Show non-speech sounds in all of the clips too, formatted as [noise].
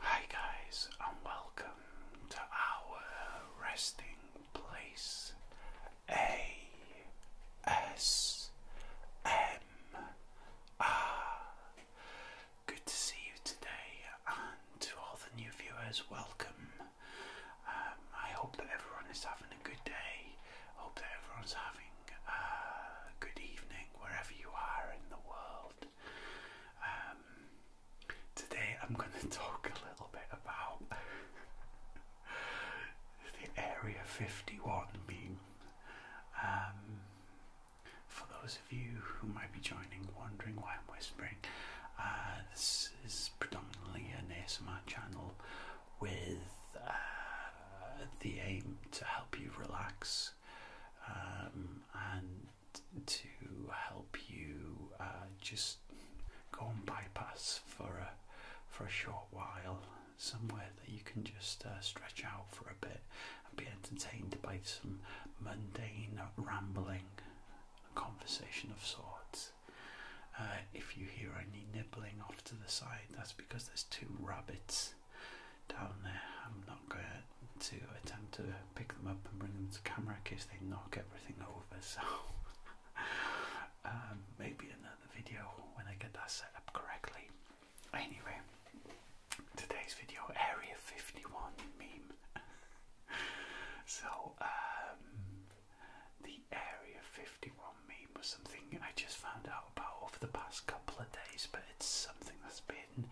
Hi, guys, and welcome to our resting place A S M R. Good to see you today, and to all the new viewers, welcome. Um, I hope that everyone is having a good day. hope that everyone's having uh, good evening, wherever you are in the world. Um, today I'm going [laughs] to talk a little bit about [laughs] the Area 51 meme. Um, for those of you who might be joining, wondering why I'm whispering, uh, this is predominantly an ASMR channel with. Uh, uh, the aim to help you relax um, and to help you uh, just go and bypass for a for a short while somewhere that you can just uh, stretch out for a bit and be entertained by some mundane rambling conversation of sorts if you hear any nibbling off to the side that's because there's two rabbits down there. I'm not going to attempt to pick them up and bring them to camera in case they knock everything over. So [laughs] um, maybe another video when I get that set up correctly. Anyway, today's video Area 51 meme. [laughs] so um, the Area 51 51 meme was something I just found out about over the past couple of days, but it's something that's been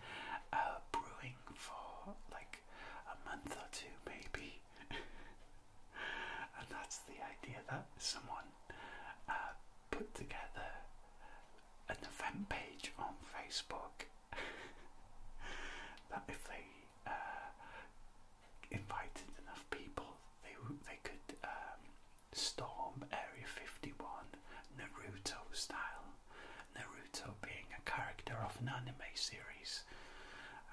uh, brewing for like a month or two, maybe. [laughs] and that's the idea that someone uh, put together an event page on Facebook [laughs] that if they uh, invited enough people, they they could um, Storm Area 51 Naruto style. Naruto being a character of an anime series.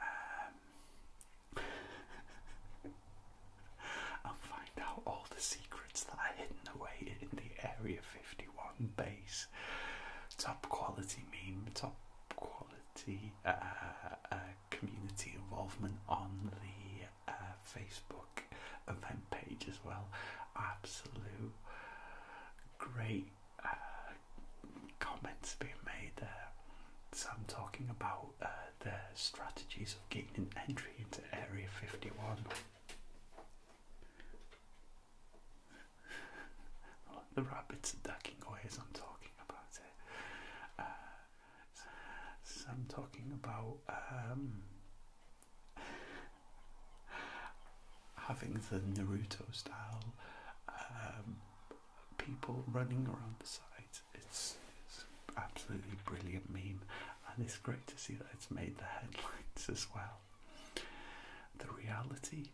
Um, and [laughs] find out all the secrets that are hidden away in the Area 51 base. Top quality meme, top quality uh, uh, community involvement on the uh, Facebook event page as well. Absolute great uh, comments being made there. So I'm talking about uh, the strategies of gaining entry into Area 51. [laughs] the rabbits are ducking away as I'm talking about it. Uh, so I'm talking about um, having the Naruto style um, people running around the site. It's, it's absolutely brilliant meme, and it's great to see that it's made the headlines as well. The reality,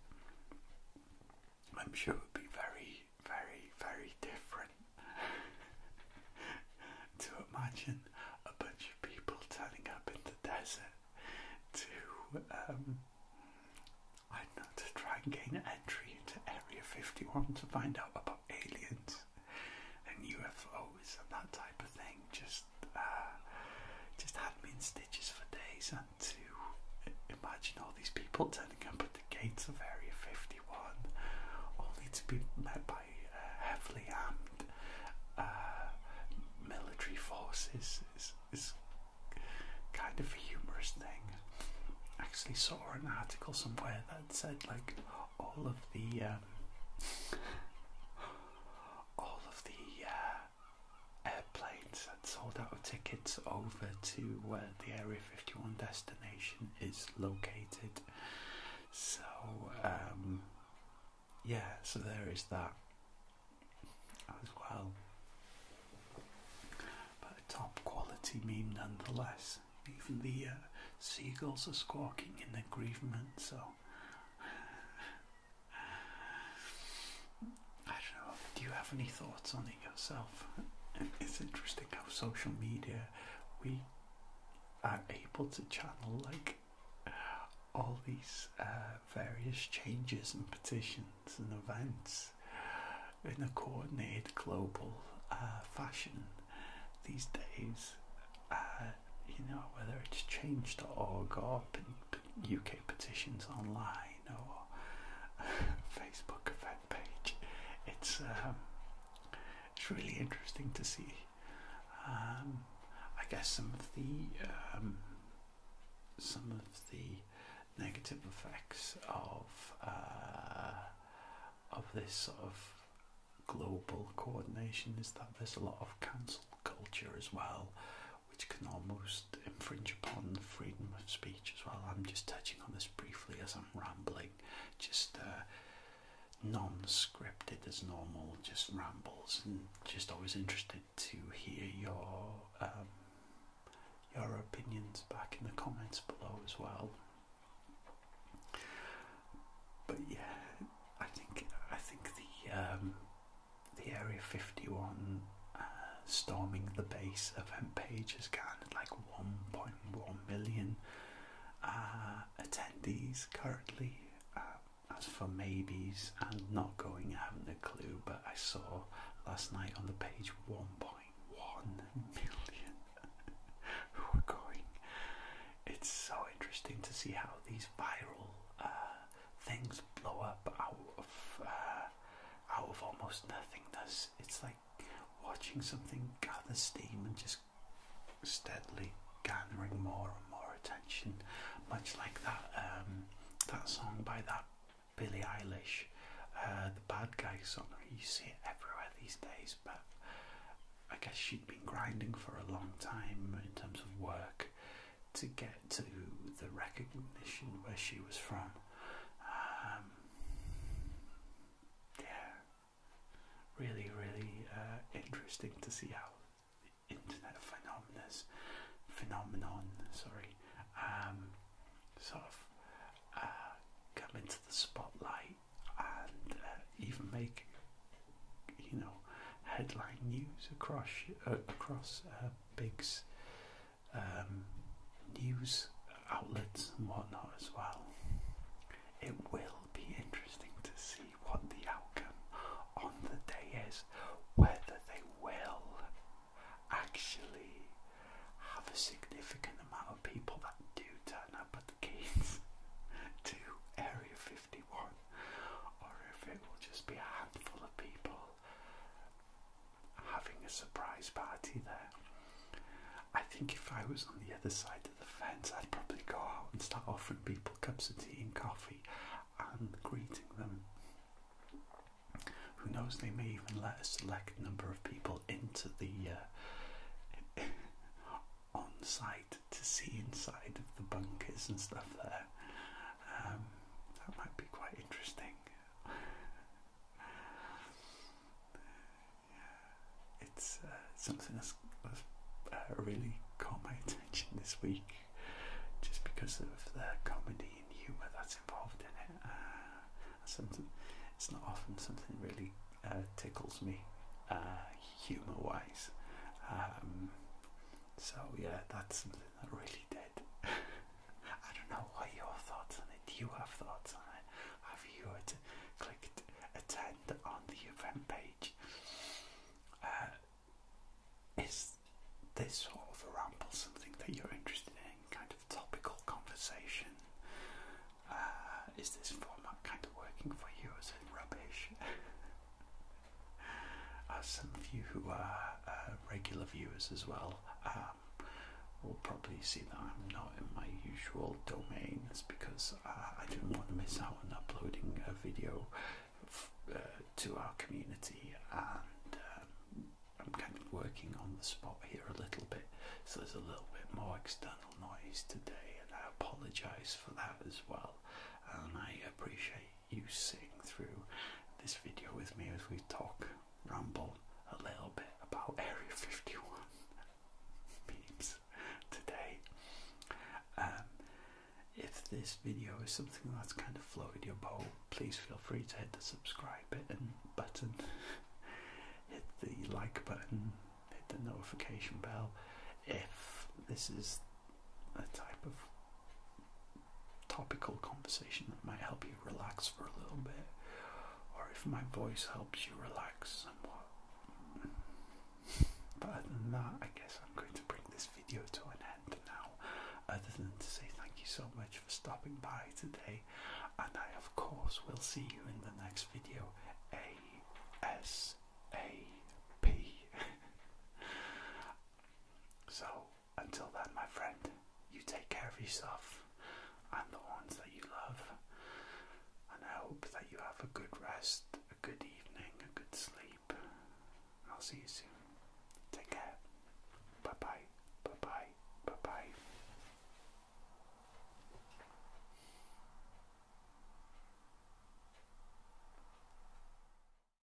I'm sure, would be very very, very different [laughs] to imagine a bunch of people turning up in the desert to, um, I don't know, to try and gain entry into Area 51 to find out about aliens and UFOs and that type of thing. Just, uh, just had me in stitches for days and to imagine all these people turning up at the gates of Area 51, only to be met by uh, heavily armed uh, military forces. Is, kind of a humorous thing. Actually, saw an article somewhere that said like all of the um, all of the uh, airplanes had sold out of tickets over to uh, the Area 51 destination station is located. So, um, yeah, so there is that as well. But a top quality meme nonetheless. Even the uh, seagulls are squawking in their grievement, so. [laughs] I don't know, do you have any thoughts on it? it's interesting how social media we are able to channel like all these uh, various changes and petitions and events in a coordinated global uh, fashion these days. Uh, you know, whether it's change.org or UK petitions online or [laughs] Facebook page. It's um, it's really interesting to see. Um, I guess some of the um, some of the negative effects of uh, of this sort of global coordination is that there's a lot of cancel culture as well, which can almost infringe upon freedom of speech as well. I'm just touching on this briefly as I am rambling, just uh, non-scripted as normal, just rambles, and just always interested to hear your um, your opinions back in the comments below as well. But yeah, I think I think the um, the Area Fifty One storming the base event page has garnered like 1.1 million uh, attendees currently. Uh, as for maybes and not going, I haven't a clue, but I saw last night on the page 1.1 million [laughs] who are going. It's so interesting to see how these viral uh, things blow up out of out of almost nothingness. It's like watching something gather steam and just steadily gathering more and more attention, much like that um, that song by that Billie Eilish, uh, the Bad Guy song. You see it everywhere these days, but I guess she'd been grinding for a long time in terms of work to get to the recognition where she was from. Um, yeah, really, really uh, interesting to see how the internet phenomenas, phenomenon, sorry, um, sort of uh, come into the spotlight and uh, even make you know headline news across across uh, big um, news outlets and whatnot as well. It will be interesting to see what the outcome on the day is, whether they will actually have a significant amount of people that do turn up at the gates [laughs] to Area 51, or if it will just be a handful of people having a surprise party there. I think if I was on the other side of the fence, I'd probably go out and start offering people cups of tea and coffee and greeting them. Who knows, they may even let a select number of people into the uh, [laughs] on site to see inside of the bunkers and stuff there. Um, that might be quite interesting yeah, it's uh, something that's, that's uh, really caught my attention this week, just because of the comedy and humour that's involved in it. Uh, something it's not often something really tickles me, humour-wise. Um, so yeah, that's something that really did. [laughs] I don't know what your thoughts on it. you have thoughts on it? Have you at clicked attend on the event page? Uh, is this sort of a ramble something that you're interested in? Kind of topical conversation? Uh, is this format kind of working for you? Is it rubbish? [laughs] As some of you who are uh, regular viewers as well um, will probably see that I'm not in my usual domain. It's because uh, I didn't want to miss out on uploading a video uh, to our community, and um, I'm kind of working on the spot here a little bit, so there's a little bit more external noise today, and I apologise for that as well. And I appreciate you sing through this video with me as we talk, ramble a little bit about Area 51 [laughs] memes today. Um, if this video is something that's kind of floated your boat, please feel free to hit the subscribe button, button [laughs] hit the like button, hit the notification bell. If this is a type of topical conversation that might help you relax for a little bit, or if my voice helps you relax somewhat. But other than that, I guess I'm going to bring this video to an end now. Other than to say thank you so much for stopping by today, and I, of course, will see you in the next video. ASAP. [laughs] so until then, my friend, you take care of yourself and the ones that you love. And I hope that you have a good rest, a good evening, a good sleep. I'll see you soon. Take care. Bye bye. Bye bye. Bye bye.